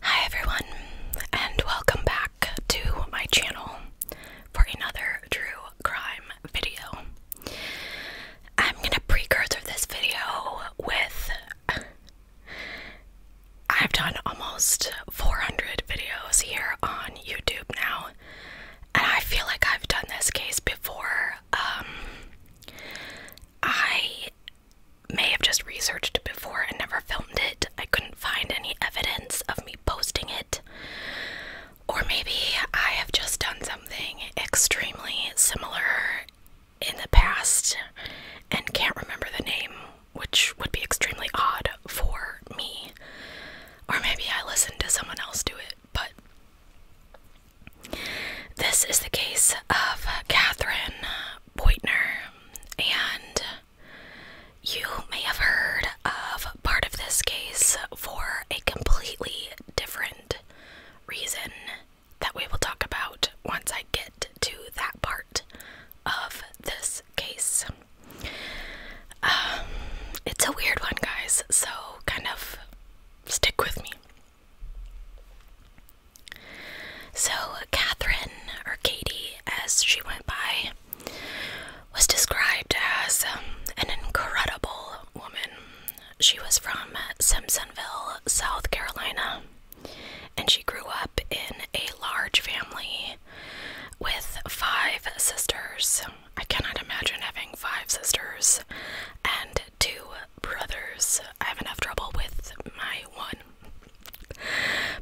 Hi everyone, and welcome back to my channel for another true crime video. I'm gonna precursor this video with I've done almost 400 videos here on YouTube now, and I feel like I've done this case before. Um, I may have just researched it before and never filmed it. I couldn't find any evidence of me posting it. Or maybe I have just done something extremely similar in the past and can't remember the name, which would be extremely odd for me. Or maybe I listen to someone else do it, but this is the case of Catherine Boitner, and you may have heard of part of this case for a completely different reason that we will talk about once I get to that part of this case. Um, it's a weird one, guys, so kind of stick with me. So, Catherine, or Katie, as she went by, was described as um, an incredible woman. She was from Simpsonville, South Carolina, and she grew up in a large family with five sisters. I cannot imagine having five sisters and two brothers. I have enough trouble with my one.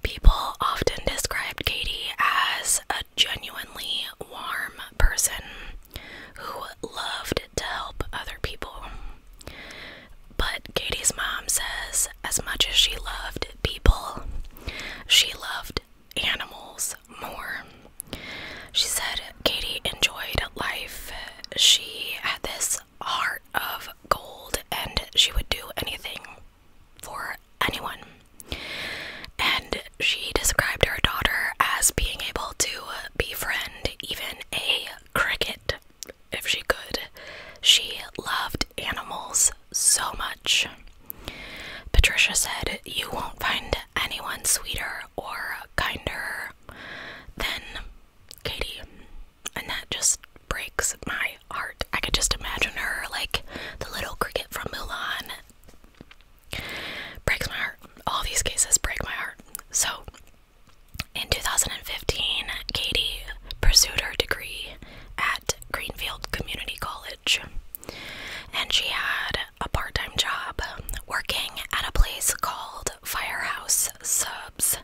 People often described Katie as a genuinely warm person who loved to help other people. But Katie's mom says, as much as she loved people, she loved animals more. She said Katie enjoyed life. She had this heart of gold and she would do anything for anyone. And she described her daughter as being able to befriend even a cricket if she could. She loved animals so much. Patricia said, You won't find anyone sweeter or kinder than Katie. And that just breaks my heart. I could just imagine her like the little cricket from Mulan. Breaks my heart. All these cases break my heart. So, in 2015, Katie pursued her degree at Greenfield Community College and she had a part time job working at a place called Firehouse Subs.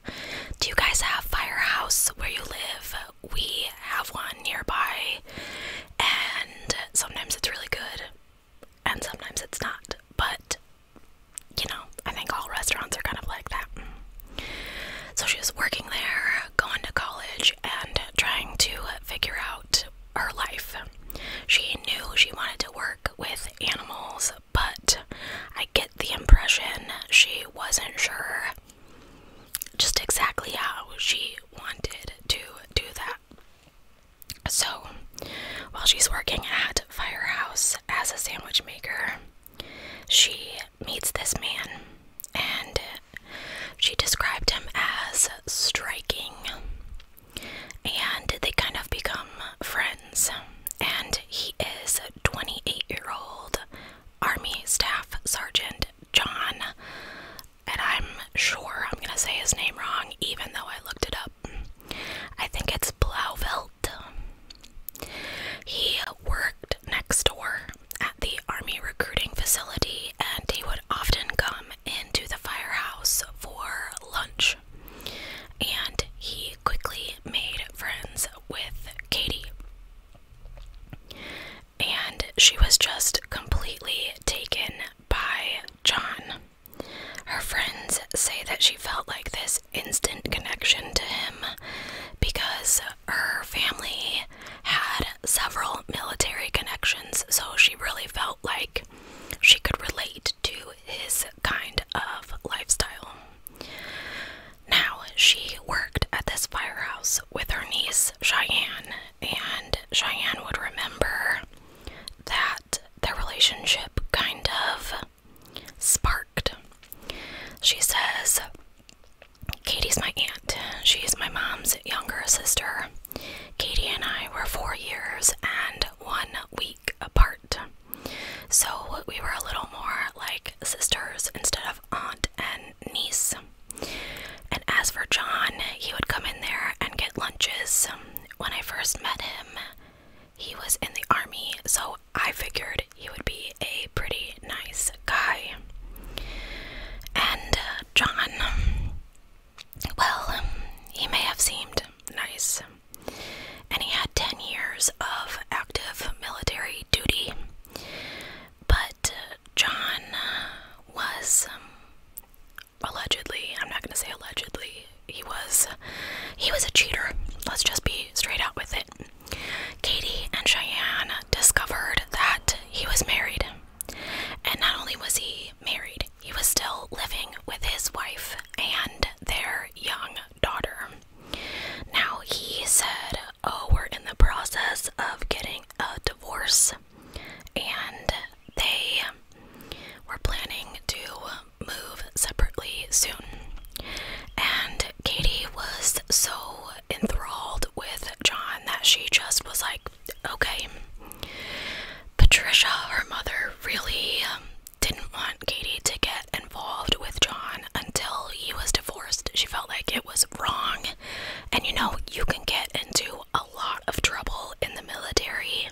Do you guys have Firehouse where you live? We have one nearby, and sometimes it's really good, and sometimes it's not, but you know, I think all restaurants are kind of like that. So she was working there, going to college, and trying to figure out her life. She knew she wanted to work with animals, but I get the impression she wasn't sure just exactly how she wanted to do that. So, while she's working at Firehouse as a sandwich maker, she meets this man and she described him as striking. And they kind of become friends. And he is 28 year old Army Staff Sergeant John. And I'm sure I'm going to say his name wrong, even though I looked it up. I think it's Blauvelt. He worked next door at the army recruiting facility and he would often come into the firehouse for lunch. And he quickly made friends with Katie. And she was just completely taken by John. Her friends say that she felt like this instant connection to him because her family had several military connections, so she really felt like she could relate to his kind of lifestyle. Now, she worked at this firehouse with her niece Cheyenne, and Cheyenne would remember that their relationship kind of sparked. She says, Katie's my aunt. She is my mom's younger sister. Katie and I were four years and one week apart. So we were a little more like sisters instead of aunt and niece. And as for John, he would come in there and get lunches. When I first met him, he was in the army, so I figured he would be a pretty nice guy. And uh, John. Well, um, he may have seemed nice, and he had 10 years of active military duty, but uh, John uh, was um, allegedly, I'm not going to say allegedly, he was he was a cheater. Let's just be straight out with it. Katie and Cheyenne discovered that he was married and not only was he married, he was still living with his wife and their young daughter. Now he said, Oh, we're in the process of getting a divorce, and they were planning to move separately soon. And Katie was so enthralled with John that she just was like, Okay. Patricia, her mother, really um, didn't want Katie to get involved with John until he was divorced. She felt like it was wrong. And you know, you can get into a lot of trouble in the military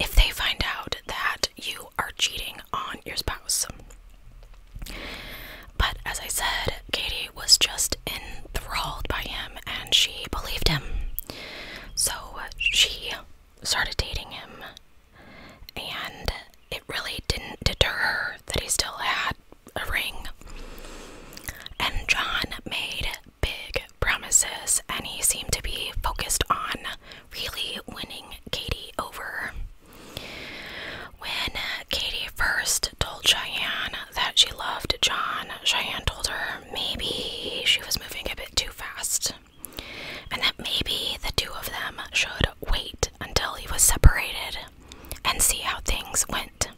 if they find out that you are cheating on your spouse. But as I said, Katie was just enthralled by him and she believed him. So uh, she started dating him, and it really didn't deter her that he still had a ring. And John made big promises, and he seemed to be focused on really winning Katie over. When Katie first told Cheyenne that she loved John, Cheyenne told her maybe she was moving a bit too fast and that maybe the two of them should wait until he was separated and see how things went.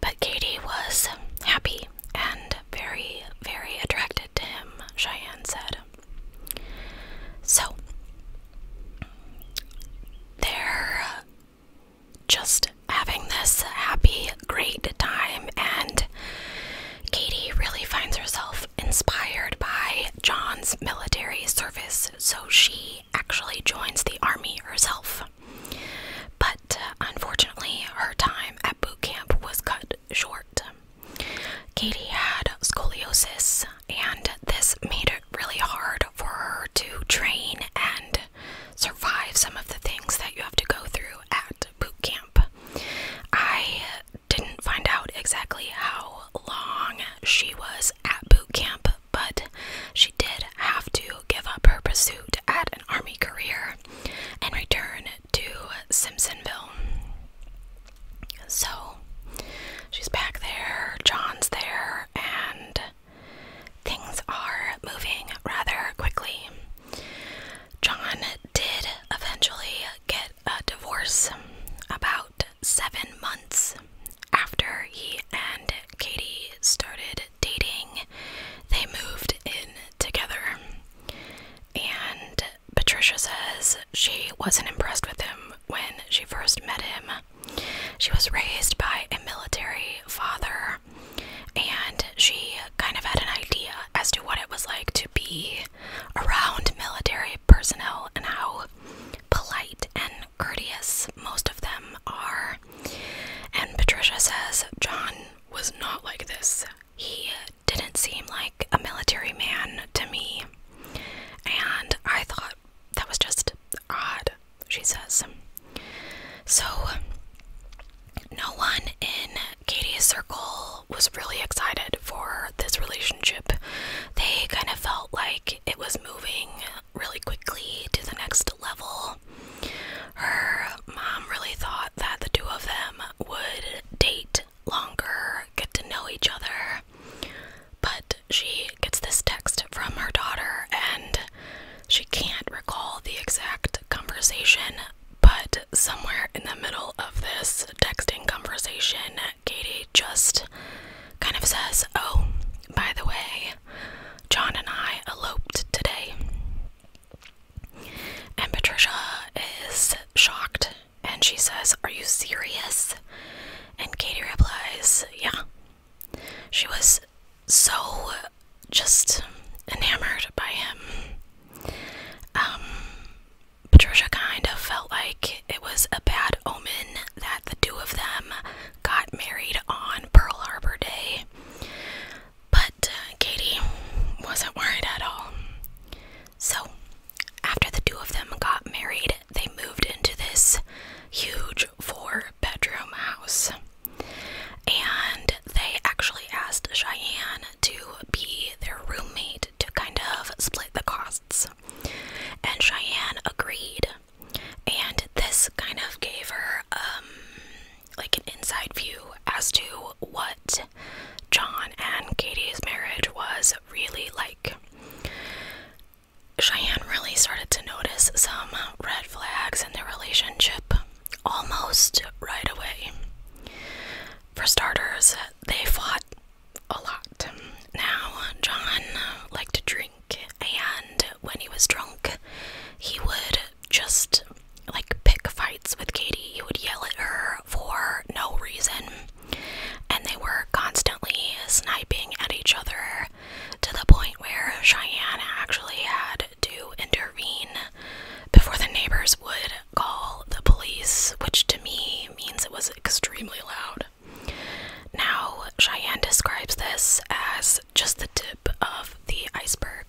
But Katie was happy and very, very attracted to him, Cheyenne said. So, there just having this happy, great time. And Katie really finds herself inspired by John's military service, so she actually joins the army herself. But uh, unfortunately, her time at boot camp was cut short. Katie had scoliosis, and this made it really hard for her to train and survive some of the things that you have to go through at boot camp. I didn't find out exactly how long she was at boot camp, but she did have to give up her pursuit at an army career and return to Simpsonville. So she's back there, John's there, and Things are moving rather quickly. John did eventually get a divorce about seven months after he and Katie started dating. They moved in together. And Patricia says she wasn't impressed with him when she first met him. She was raised by a military father and she kind of had an idea as to what it was like to be around military personnel and how polite and courteous most of them are. And Patricia says John was not like this. He didn't seem like a military man to me. And I thought that was just odd, she says. So, no one in Katie's circle was really excited for this relationship. They kind of felt like it was moving really quickly to the next level. Her mom really thought that the two of them would date longer, get to know each other. But she gets this text from her daughter, and she can't recall the exact conversation, but somewhere in the middle of this texting conversation, Katie just kind of says, Oh, by the way, John and I eloped today. And Patricia is shocked and she says, Are you serious? And Katie replies, Yeah, she was so just enamored by him. Um, Patricia kind of felt like it was a bad omen that the two of them got married on Pearl Harbor Day. But uh, Katie wasn't worried at all. So, after the two of them got married, they moved into this huge large four bedroom house. And they actually asked Cheyenne to be their roommate to kind of split the costs. And Cheyenne agreed. And this kind of gave her um like an inside view as to what John and Katie's marriage was really like. Cheyenne really started to notice some red flags in their relationship almost right away. For starters, they fought a lot. Now, John liked to drink, and when he was drunk, he would just like pick fights with Katie. He would yell at her for no reason, and they were constantly sniping at each other to the point where Cheyenne actually had to intervene before the neighbors would call the police, which to me means it was extremely loud. Now, Cheyenne describes this as just the tip of the iceberg.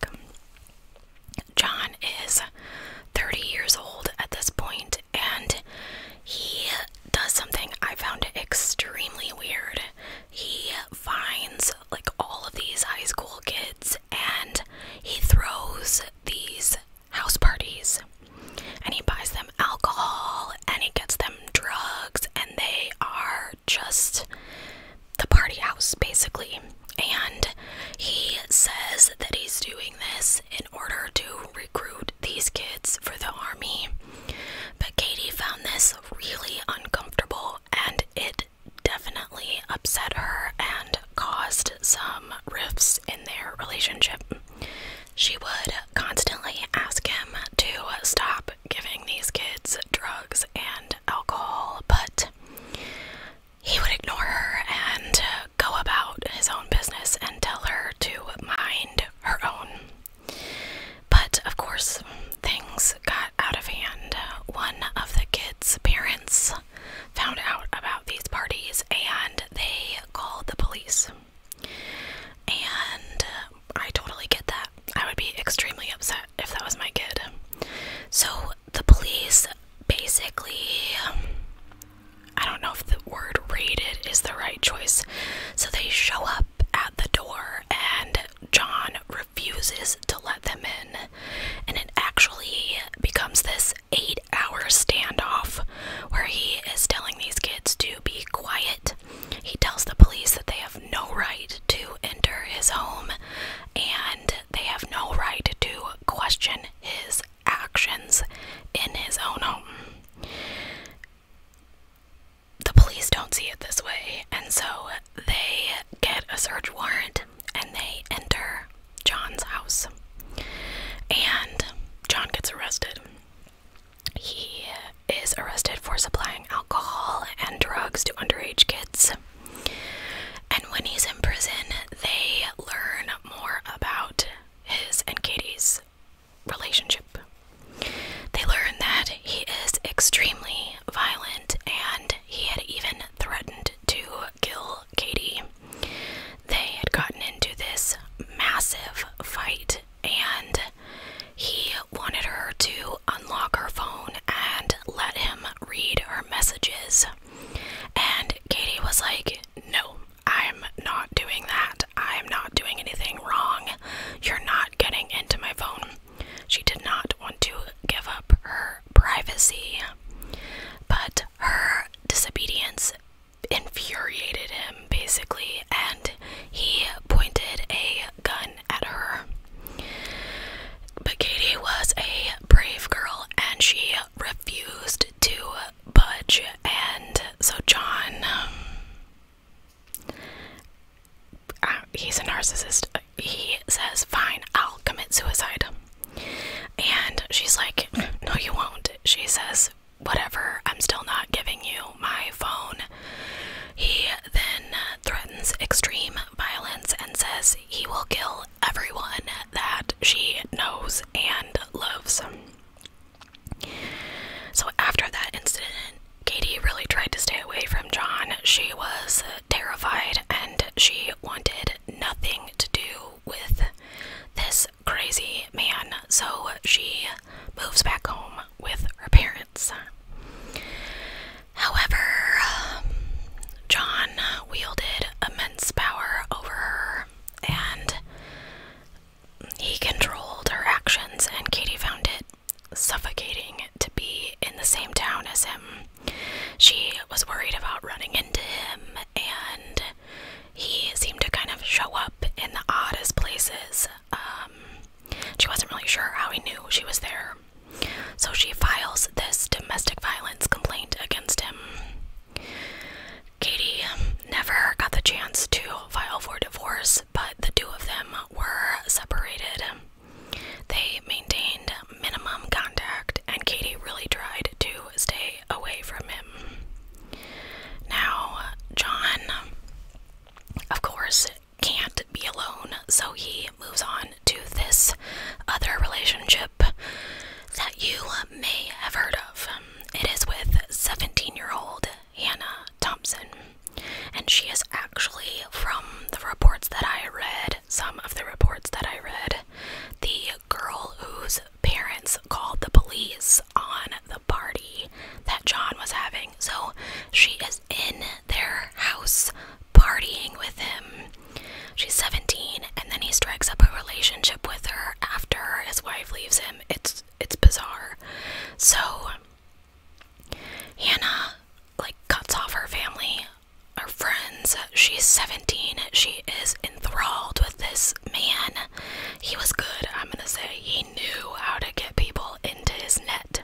John is 30 years old at this point, and he does something I found extremely weird he finds like all of these high school kids and he throws these house parties and he buys them alcohol and he gets them drugs and they are just the party house basically and he says that he's doing this in order to recruit these kids for the army but Katie found this really uncomfortable and it definitely upset her and caused some rifts in their relationship. She would constantly ask him to stop giving these kids drugs and alcohol, but he would ignore her and go about his own business and tell her to mind her own. But of course, things got out of hand. One of the kids' parents found out about these parties and they called the police. And uh, I totally get that. I would be extremely upset if that was my kid. So the police basically, I don't know if the word raided is the right choice. So they show up at the door and John refuses to let them in, and it actually becomes this eight hour standoff where he is telling these kids to be quiet. He tells the police that they have no right to enter his home and they have no right to question his actions in his own home the police don't see it this way, and so they get a search warrant and they enter John's house. And John gets arrested. He is arrested for supplying alcohol and drugs to underage kids. And when he's in prison, they learn more about his and Katie's relationship. They learn that he is extremely violent and he had even threatened to kill Katie. They had gotten into this massive fight and he wanted her to unlock her phone and let him read her messages. And Katie was like, No, I'm not doing that. I'm not doing anything wrong. You're not getting into my phone. She did not want to give up her privacy, but her disobedience infuriated him basically, and he pointed a gun at her. But Katie was a brave girl and she refused to budge, and so John uh, he's a narcissist. He says, Fine, I'll commit suicide. And she's like, No, you won't. She says, Whatever, I'm still not giving you my phone. He then threatens extreme violence and says he will kill everyone that she knows and loves. So after that incident, Katie really tried to stay away from John. She was terrified and she wanted nothing to do with this crazy man, so she moves back home with her parents. However, John wielded immense power over her and he controlled her actions, and Katie found it suffocating to be in the same town as him. She was worried about running into him, and he seemed to kind of show up in the oddest places. Um, she wasn't really sure how he knew she was there. So she files this domestic violence complaint against him. Katie never got the chance to file for divorce but the two of them were separated. They maintained minimum contact, and Katie really tried to stay away from him. Now, John, of course, can't be alone, so he moves on to this other relationship that you may have heard of. It is with 17 year old Hannah Thompson and she is actually from the reports that I read, some of the reports that I read, the girl whose parents called the police on the party that John was having. So she is in their house partying with him. She's 17 and then he strikes up a relationship with her after his wife leaves him. It's it's bizarre. So Hannah like cuts off her family, her friends. She's 17. She is enthralled with this man. He was good, I'm gonna say. He knew how to get people into his net.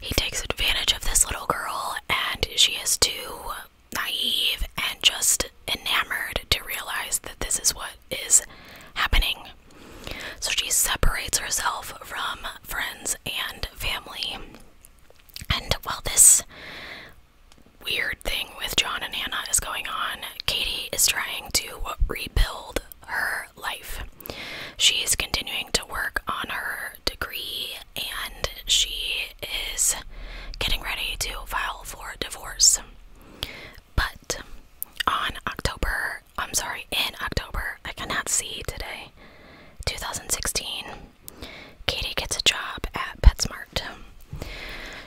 He takes advantage of this little girl, and she is too naive and just enamored to realize that this is what is happening. So she separates herself from friends and family. And while this weird thing with John and Hannah is going on, Katie is trying to rebuild her life. She is continuing to work on her degree and she is getting ready to file for divorce. But on October I'm sorry, in October, I cannot see today, 2016, Katie gets a job at PetSmart.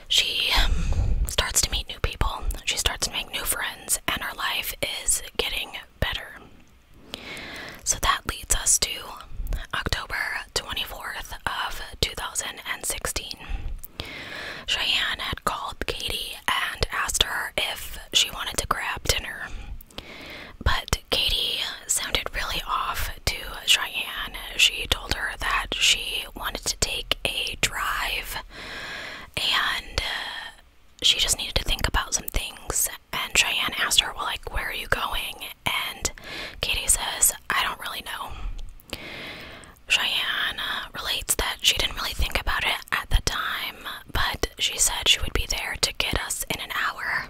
She um, starts to meet new people, she starts to make new friends, and her life is getting better. So that leads us to October 24th of 2016. Cheyenne had called Katie and asked her if she wanted to grab dinner. But Katie sounded really off to Cheyenne. She told her that she wanted to take a drive and uh, she just needed to think about some things. And Cheyenne asked her, Well, like, where are you going? And Katie says, I don't really know. Cheyenne uh, relates that she didn't really think about it at the time, but she said she would be there to get us in an hour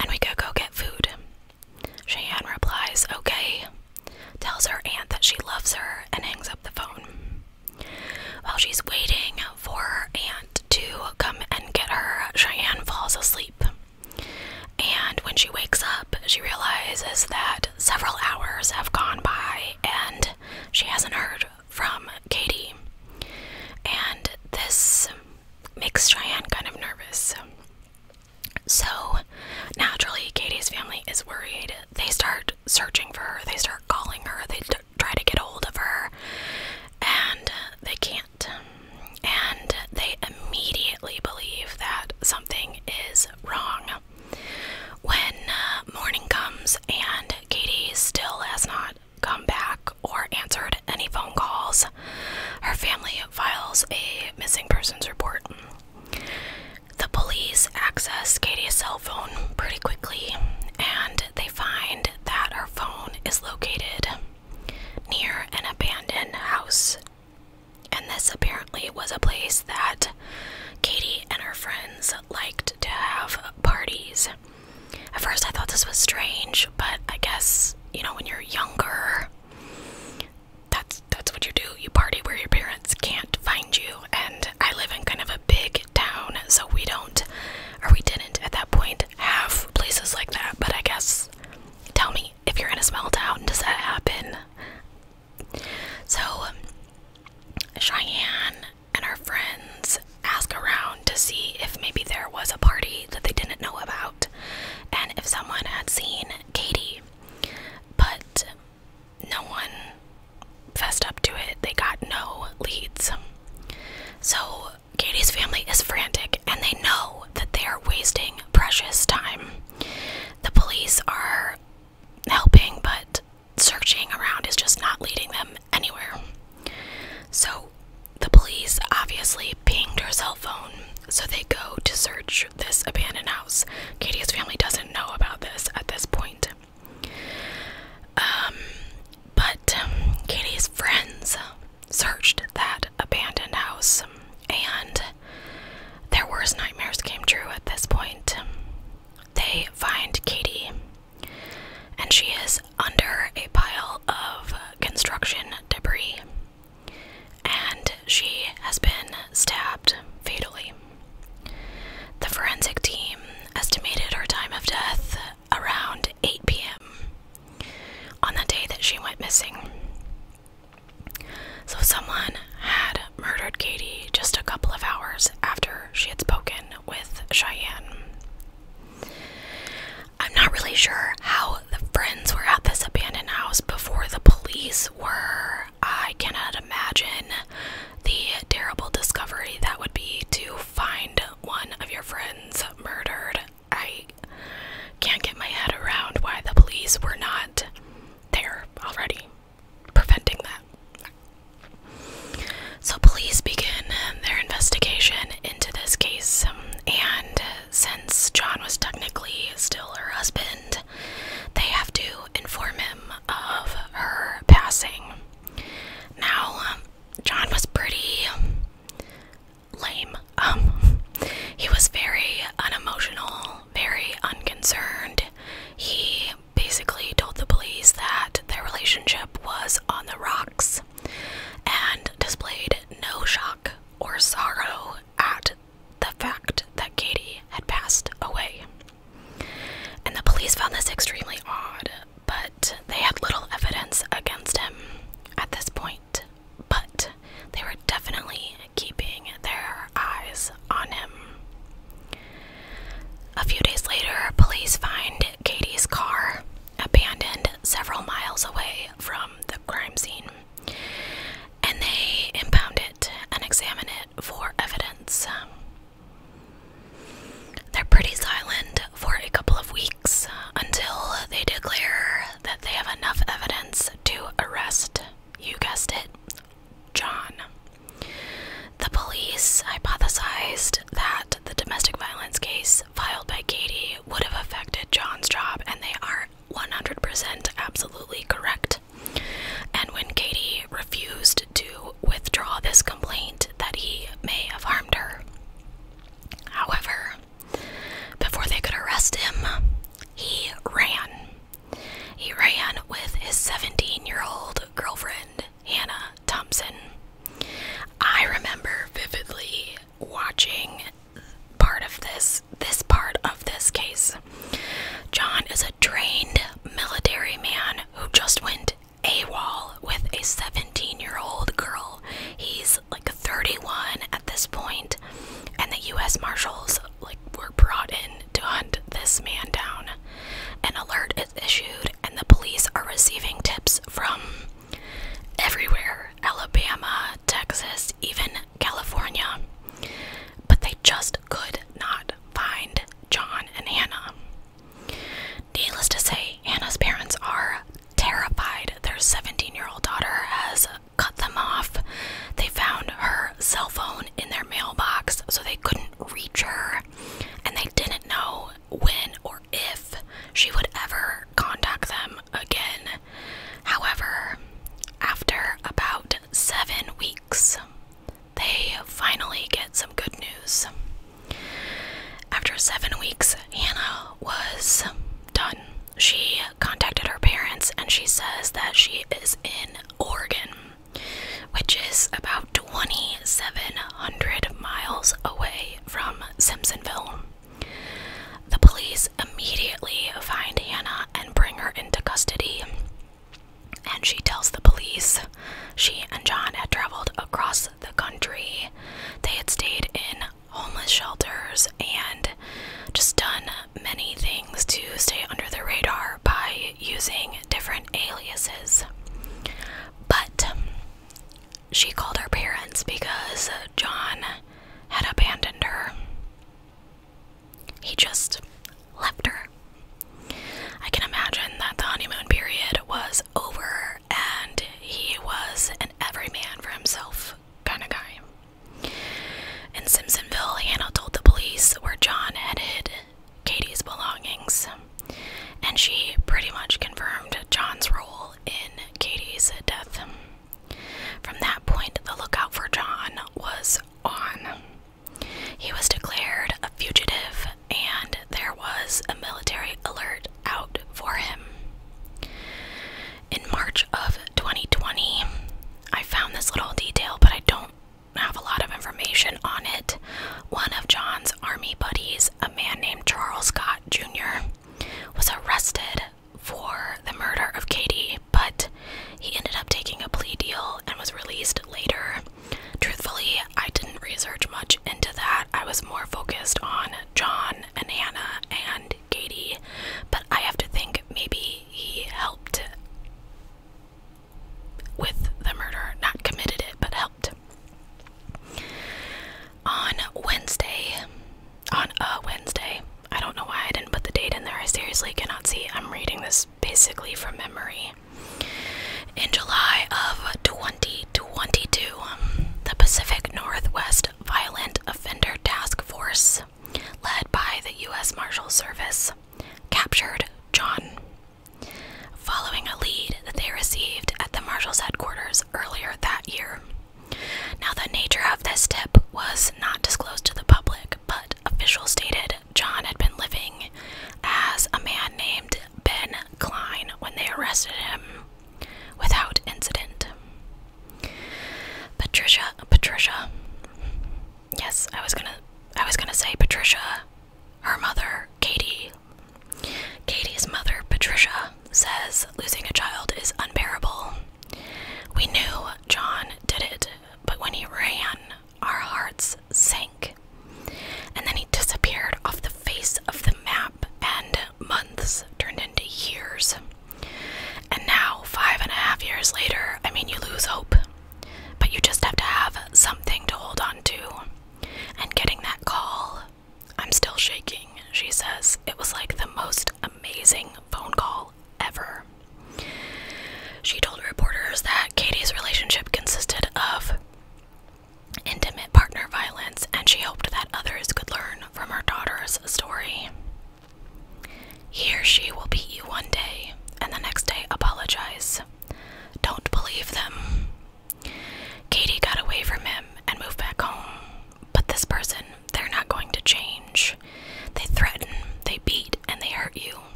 and we could go get food. Cheyenne replies, okay, tells her aunt that she loves her, and hangs up the phone. While she's waiting for her aunt to come and get her, Cheyenne falls asleep. And when she wakes up, she realizes that several hours have gone by and she hasn't heard from Katie, and this makes Cheyenne kind of nervous. So, naturally, Katie's family is worried. They start searching for her, they start calling her, they try to get hold of her, and they can't. And they immediately believe that something is wrong. When uh, morning comes and Katie still has not come back or answered any phone calls. Her family files a missing persons report. The police access Katie's cell phone pretty quickly and they find that her phone is located near an abandoned house. And this apparently was a place that Katie and her friends liked to have parties at first I thought this was strange, but I guess, you know, when you're younger, that's that's what you do. You party where your parents can't find you. And I live in kind of a big town, so we don't or we didn't at that point have places like that. But I guess tell me if you're in a small town, does that happen? So Cheyenne and her friends ask around to see if maybe there was a party that they didn't know about and if someone had seen Katie. But no one fessed up to it. They got no leads. So Katie's family is frantic and they know that they are wasting precious time. The police are helping, but searching around is just not leading them anywhere. So the police obviously pinged her cell phone, so they go to search this abandoned house. Katie's family doesn't know about this at this point. Um, but um, Katie's friends searched that abandoned house, and their worst nightmares came true at this point. They find Katie and she is under a pile of construction debris, and she has been stabbed fatally. The forensic team estimated her time of death around 8 p.m. on the day that she went missing. So, someone had murdered Katie just a couple of hours after she had spoken with Cheyenne. I'm not really sure how the friends were at this abandoned house before the police were. I cannot imagine the terrible discovery that would be to find one of your friends murdered. I can't get my head around why the police were not there already, preventing that. So, police begin their investigation into this case, um, and since John was technically still her husband, they have to inform him of her passing. Now, um, John was pretty lame. Um, he was very unemotional, very unconcerned. He basically told the police that their relationship was on the rocks and displayed no shock or sorrow at the fact that Katie had passed away. And the police found this extremely odd, but they had little evidence against him at this point. But they were definitely keeping their eyes on him. A few days later, police find Katie's car abandoned several miles away from the crime scene, and they impound it and examine it for evidence. They're pretty silent for a couple of weeks uh, until they declare that they have enough evidence to arrest, you guessed it, John. The police hypothesized that the domestic violence case filed by Katie would have affected John's job, and they are 100% absolutely correct. And when Katie refused to withdraw this complaint, that he may have harmed her. However, before they could arrest him, he ran. He ran with his 17 year old girlfriend Hannah Thompson. I remember vividly watching part of this this part of this case. John is a trained military man who just went AWOL with a 17-year-old girl. He's like 31 at this point, and the US Marshals like were brought in to hunt this man down. An alert is issued and the police are receiving tips from everywhere Alabama, Texas, even California. But they just could not find John and Hannah. Needless to say, Hannah's parents are terrified their 17 year old daughter has cut them off. They found her cell phone in their mailbox, so they couldn't reach her, and they didn't know when or if she would ever contact them again. However, after about seven weeks, they finally get some good news. After seven weeks, Hannah was done. She contacted her parents and she says that she is in Oregon, which is about 2,700 miles away from Simpsonville. The police immediately find Hannah and bring her into custody. And she tells the police she and John had traveled across the country. They had stayed in homeless shelters and just done many things to stay under the radar by using different aliases. But she called her parents because John had abandoned her. He just left her. I can imagine that the honeymoon period was over and he was an every man for himself kind of guy. In Simpsonville, Hannah told the police where John had hid Katie's belongings and she pretty much confirmed John's role in Katie's death. From that point, the lookout for John was on. He was declared a fugitive, and there was a military alert out for him. In March of 2020, I found this little detail, but I don't have a lot of information on it. One of John's army buddies, a man named Charles Scott Jr., was arrested for the murder of Katie, but he ended up taking a plea deal and was released later. Truthfully, I didn't research much into that. I was more focused on John and Hannah and Katie, but I have to think maybe he helped with the murder, not committed it, but helped on Wednesday. On a Wednesday. I don't know why I didn't put the date in there. I seriously cannot see. I'm reading this basically from memory. In July of 2022, um, the Pacific Northwest Violent Offender Task Force, led by the U.S. Marshal Service, captured John. Following a lead that they received at the Marshal's headquarters earlier that year. Now, the nature of this tip was not disclosed to the public, but officials stated John had been living as a man named Ben Klein when they arrested him without incident. Patricia, Patricia. Yes, I was gonna, I was gonna say Patricia. Her mother, Katie, Katie's mother, Patricia, says losing a child is unbearable. We knew John did it, but when he ran, our hearts sank. And then he disappeared off the face of the map, and months turned into years. And now, five and a half years later, I mean, you lose hope, but you just have to have something to hold on to. And getting that call I'm still shaking, she says. It was like the most amazing phone call ever. She told reporters that Katie's relationship consisted of intimate partner violence, and she hoped that others could learn from her daughter's story. He or she will beat you one day, and the next day apologize. Don't believe them. Katie got away from him and moved back home, but this person, they're not going to change. They threaten, they beat, and they hurt you.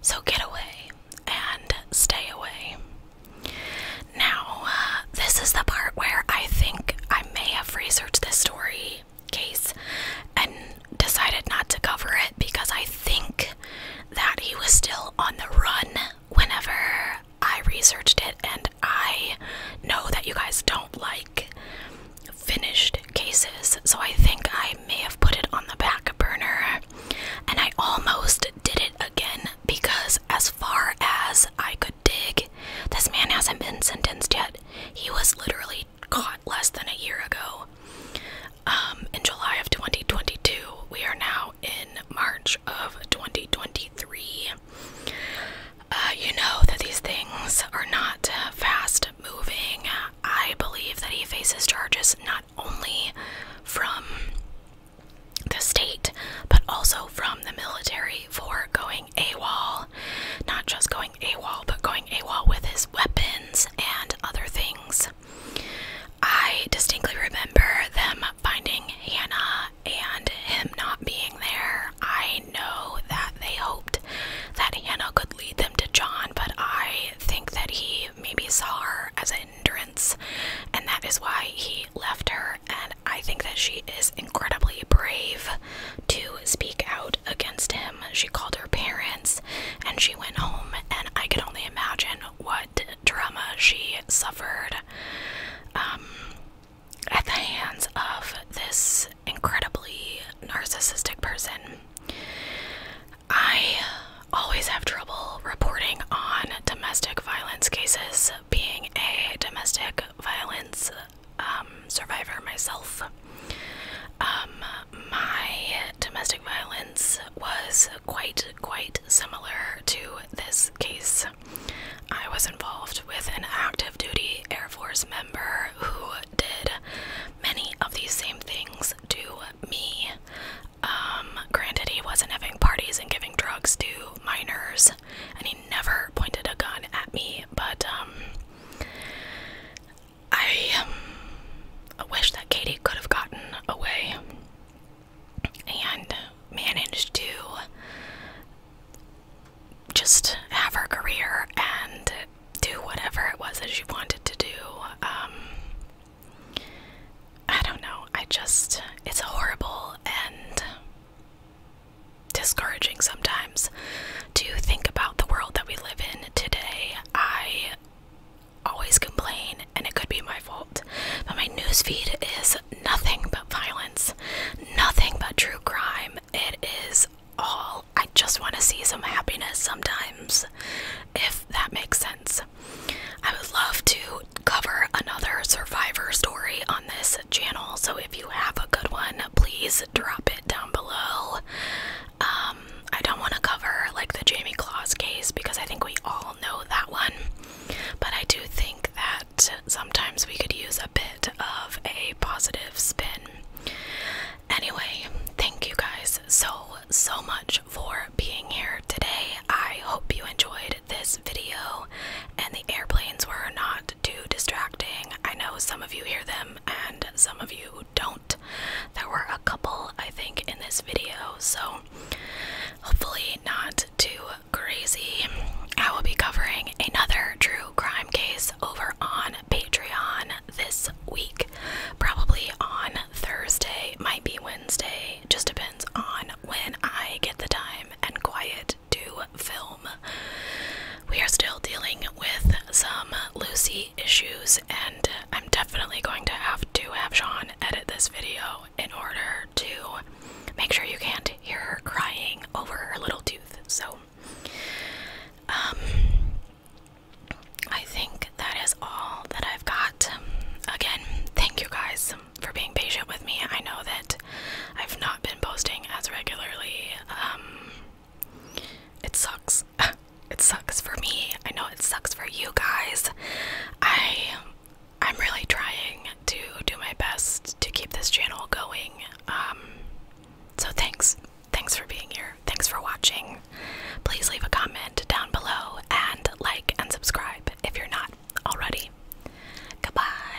So get away and stay away. Now, uh, this is the part where I think I may have researched this story case and decided not to cover it because I think that he was still on the run whenever I researched it and I know that you guys don't like finished cases, so I think I may have put it on the back burner. And I almost did it again because, as far as I could dig, this man hasn't been sentenced yet. He was literally caught less than a year ago. Um, in July of 2022, we are now in March of 2023. Uh, you know that these things are not uh, fast moving. I believe that he faces charges not only from the state, but also from the military for going AWOL. Not just going AWOL, but going AWOL with his weapons and other things. I distinctly remember them finding Hannah and him not being there, I know that they hoped that Hannah could lead them to John, but I think that he maybe saw her as an hindrance, and that is why he left her. And I think that she is incredibly brave to speak out against him. She called her parents and she went home, and I can only imagine what drama she suffered um, at the hands of this incredibly narcissistic person. I always have trouble reporting on domestic violence cases, being a domestic violence um, survivor myself. Um, my domestic violence was quite, quite similar to this case. I was involved with an active duty Air Force member who did many of these same things to me. Um, granted, he wasn't having parties and giving drugs to minors, and he never pointed a gun at me, but um, I um, wish that Katie could have gotten away and managed to just have her career and do whatever it was that she wanted to do. Um, I don't know. I just, it's horrible and discouraging sometimes to think about the world that we live in today. I always complain, and it could be my but my newsfeed is nothing but violence, nothing but true crime. It is all. I just want to see some happiness sometimes, if that makes sense. I would love to cover another survivor story on this channel, so if you have a good one, please drop it down below. Um, I don't want to cover like the Jamie Claus case because I think we all know that one. But I do think that sometimes we could use a bit of a positive spin. Anyway, thank you guys so, so much for being here today. I hope you enjoyed this video and the airplanes were not too distracting. I know some of you hear them and some of you don't. There were a couple, I think, in this video, so hopefully not too crazy. I will be covering another true crime case over on Patreon this week, probably on Thursday, might be Wednesday, just depends on when I get the time and quiet to film. We are still dealing with some Lucy issues, and I'm definitely going to have to have Sean edit this video in order to make sure you can't hear her crying over her little tooth. So, um, I think that is all that I've got. Again, thank you guys for being patient with me. I know that I've not been posting as regularly. Um, it sucks. it sucks for me. I know it sucks for you guys. I I'm really trying to do my best to keep this channel going. Um, so thanks. Thanks for being here. Thanks for watching. Please leave a comment down below and like and subscribe if you're not already. Goodbye.